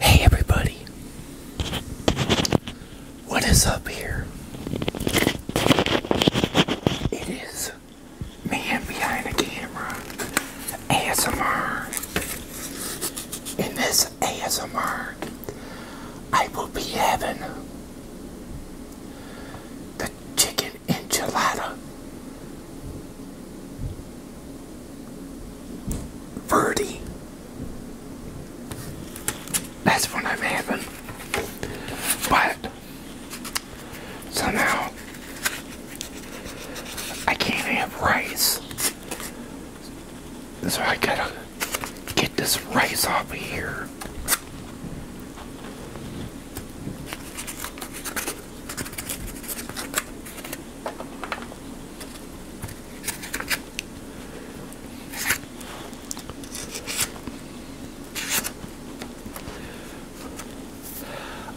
Hey everybody, what is up here? It is man behind the camera, ASMR in this ASMR, I will be having the chicken enchilada Verde. That's what I'm having. But somehow I can't have rice. So I gotta get this rice off of here.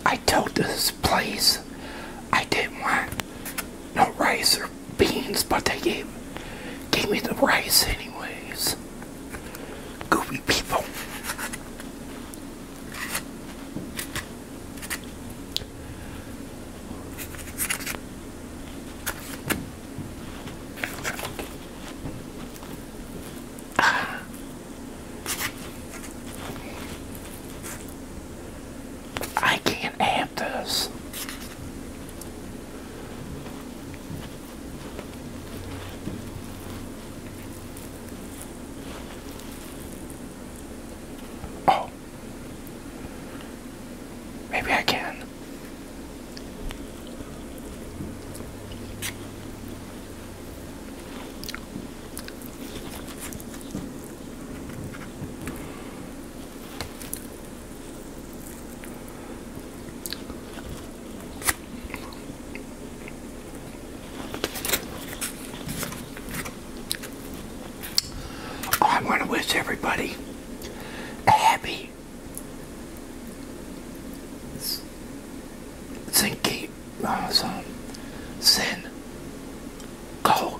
I told this place I didn't want no rice or beans, but they gave gave me the rice anyways. Goofy people. Ah. I can't have this. Oh. Maybe I can. I want to wish everybody a happy thinking, uh, sin, go,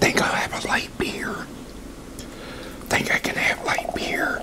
Think I'll have a light beer. Think I can have light beer.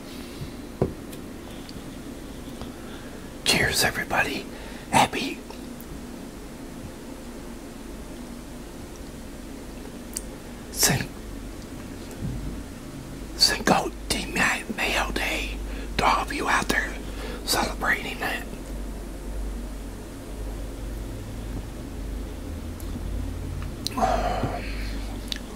Cheers, everybody. Happy Cin Cinco de Mayo Day to all of you out there celebrating it.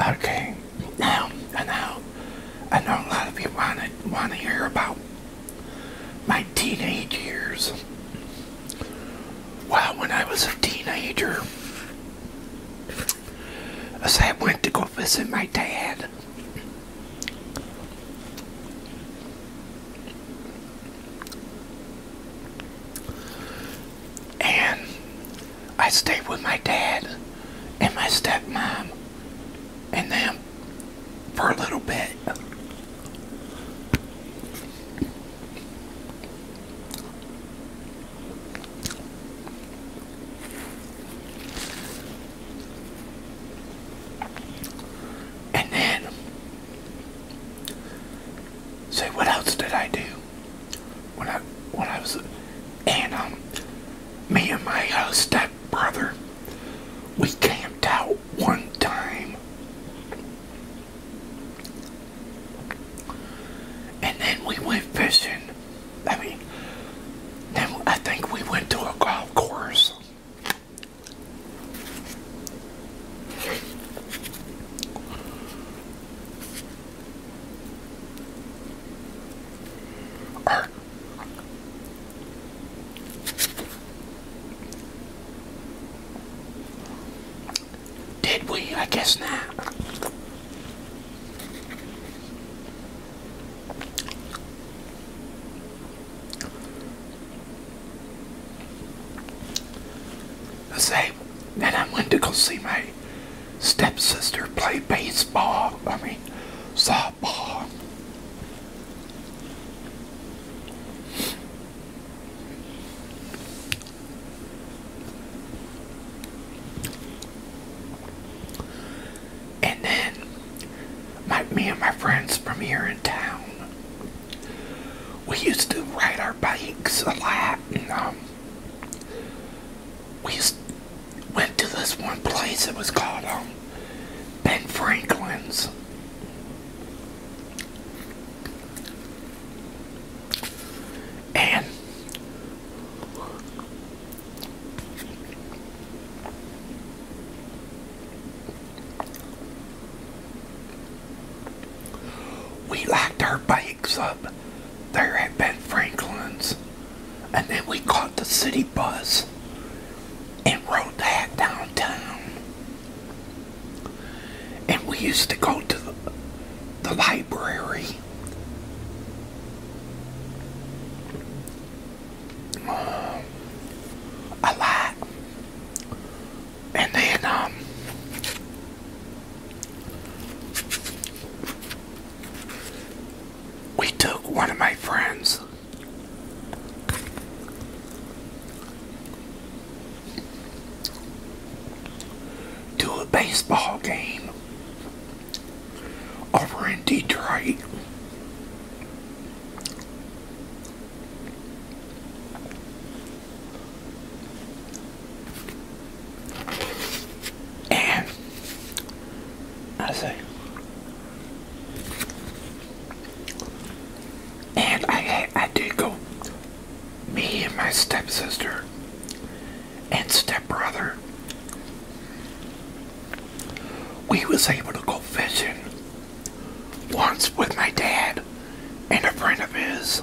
Okay, now I know I know a lot of you want to want to hear about my teenage years. Wow, when I was a teenager, as I went to go visit my dad, and I stayed with my dad and my stepmom and them for a little bit. And then, say what else did I do when I when I was and um me and my uh, step brother we camped out one time and then we went fishing. I mean, then I think we went to a golf course. Did we? I guess not. I say, then I went to go see my stepsister play baseball. I mean, softball. And then my, me and my friends from here in town, we used to ride our bikes a lot. And, um, we used, went to this one place. It was called um, Ben Franklin's, and we locked our bikes up there at Ben Franklin's, and then we caught the city bus and rode back downtown. And we used to go to the, the library. Um, a lot. And then, um, we took one of my friends to a baseball game over in Detroit. And I say, and I, I did go, me and my stepsister and stepbrother, we was able to go fishing once with my dad and a friend of his.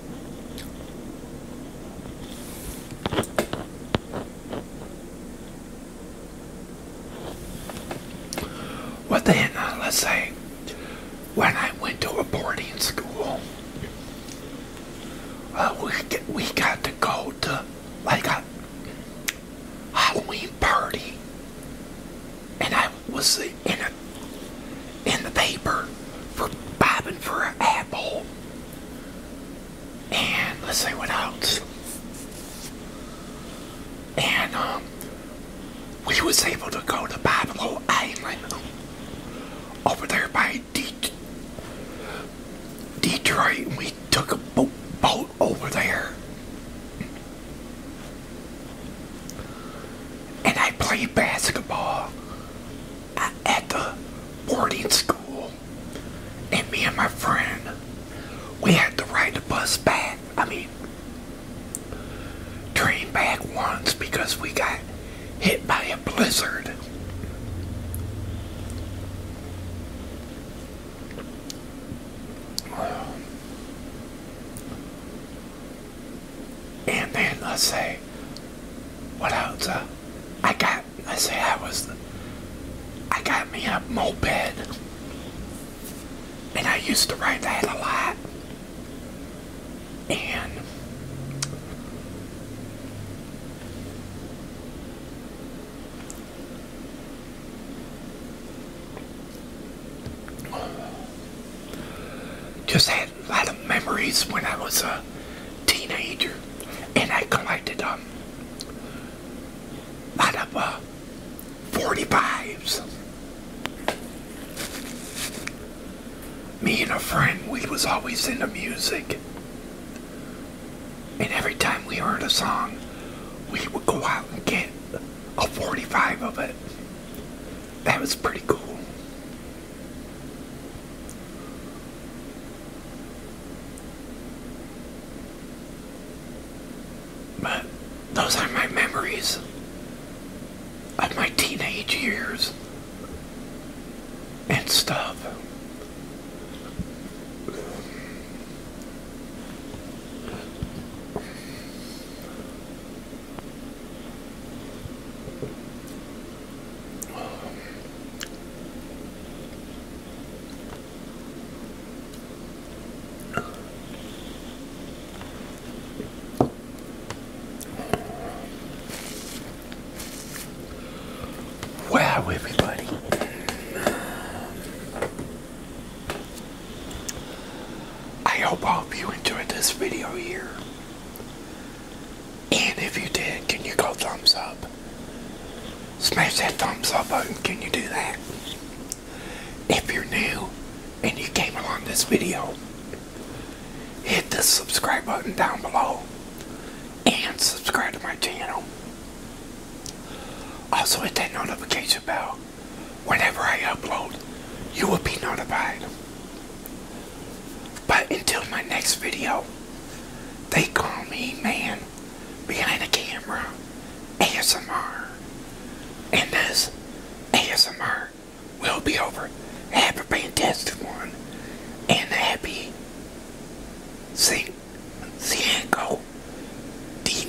Well then, uh, let's say when I went to a boarding school, uh, we we got to go to like a Halloween party, and I was in in the paper for bobbing for an apple. And let's see what else. And um, we was able to go to Babylon Island over there by De Detroit. and We took a boat, boat over there and I played basketball at the boarding school. And me and my friend, we had to ride the bus back. I mean, train back once because we got hit by a blizzard and then I us say what else uh, I got I us say I was I got me a moped and I used to ride that a lot and just had a lot of memories when I was a teenager, and I collected um, a lot of uh, 45s. Me and a friend, we was always into music. And every time we heard a song, we would go out and get a 45 of it. That was pretty cool those are my memories of my teenage years and stuff. Wow, everybody. I hope all of you enjoyed this video here. And if you did, can you go thumbs up? Smash that thumbs up button, can you do that? If you're new and you came along this video, hit the subscribe button down below and subscribe to my channel. Also hit that notification bell. Whenever I upload, you will be notified. But until my next video, they call me man behind the camera ASMR. And this ASMR will be over. Happy a fantastic one. And happy Sing Cienko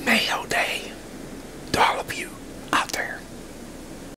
Mayo Day to all of you out there.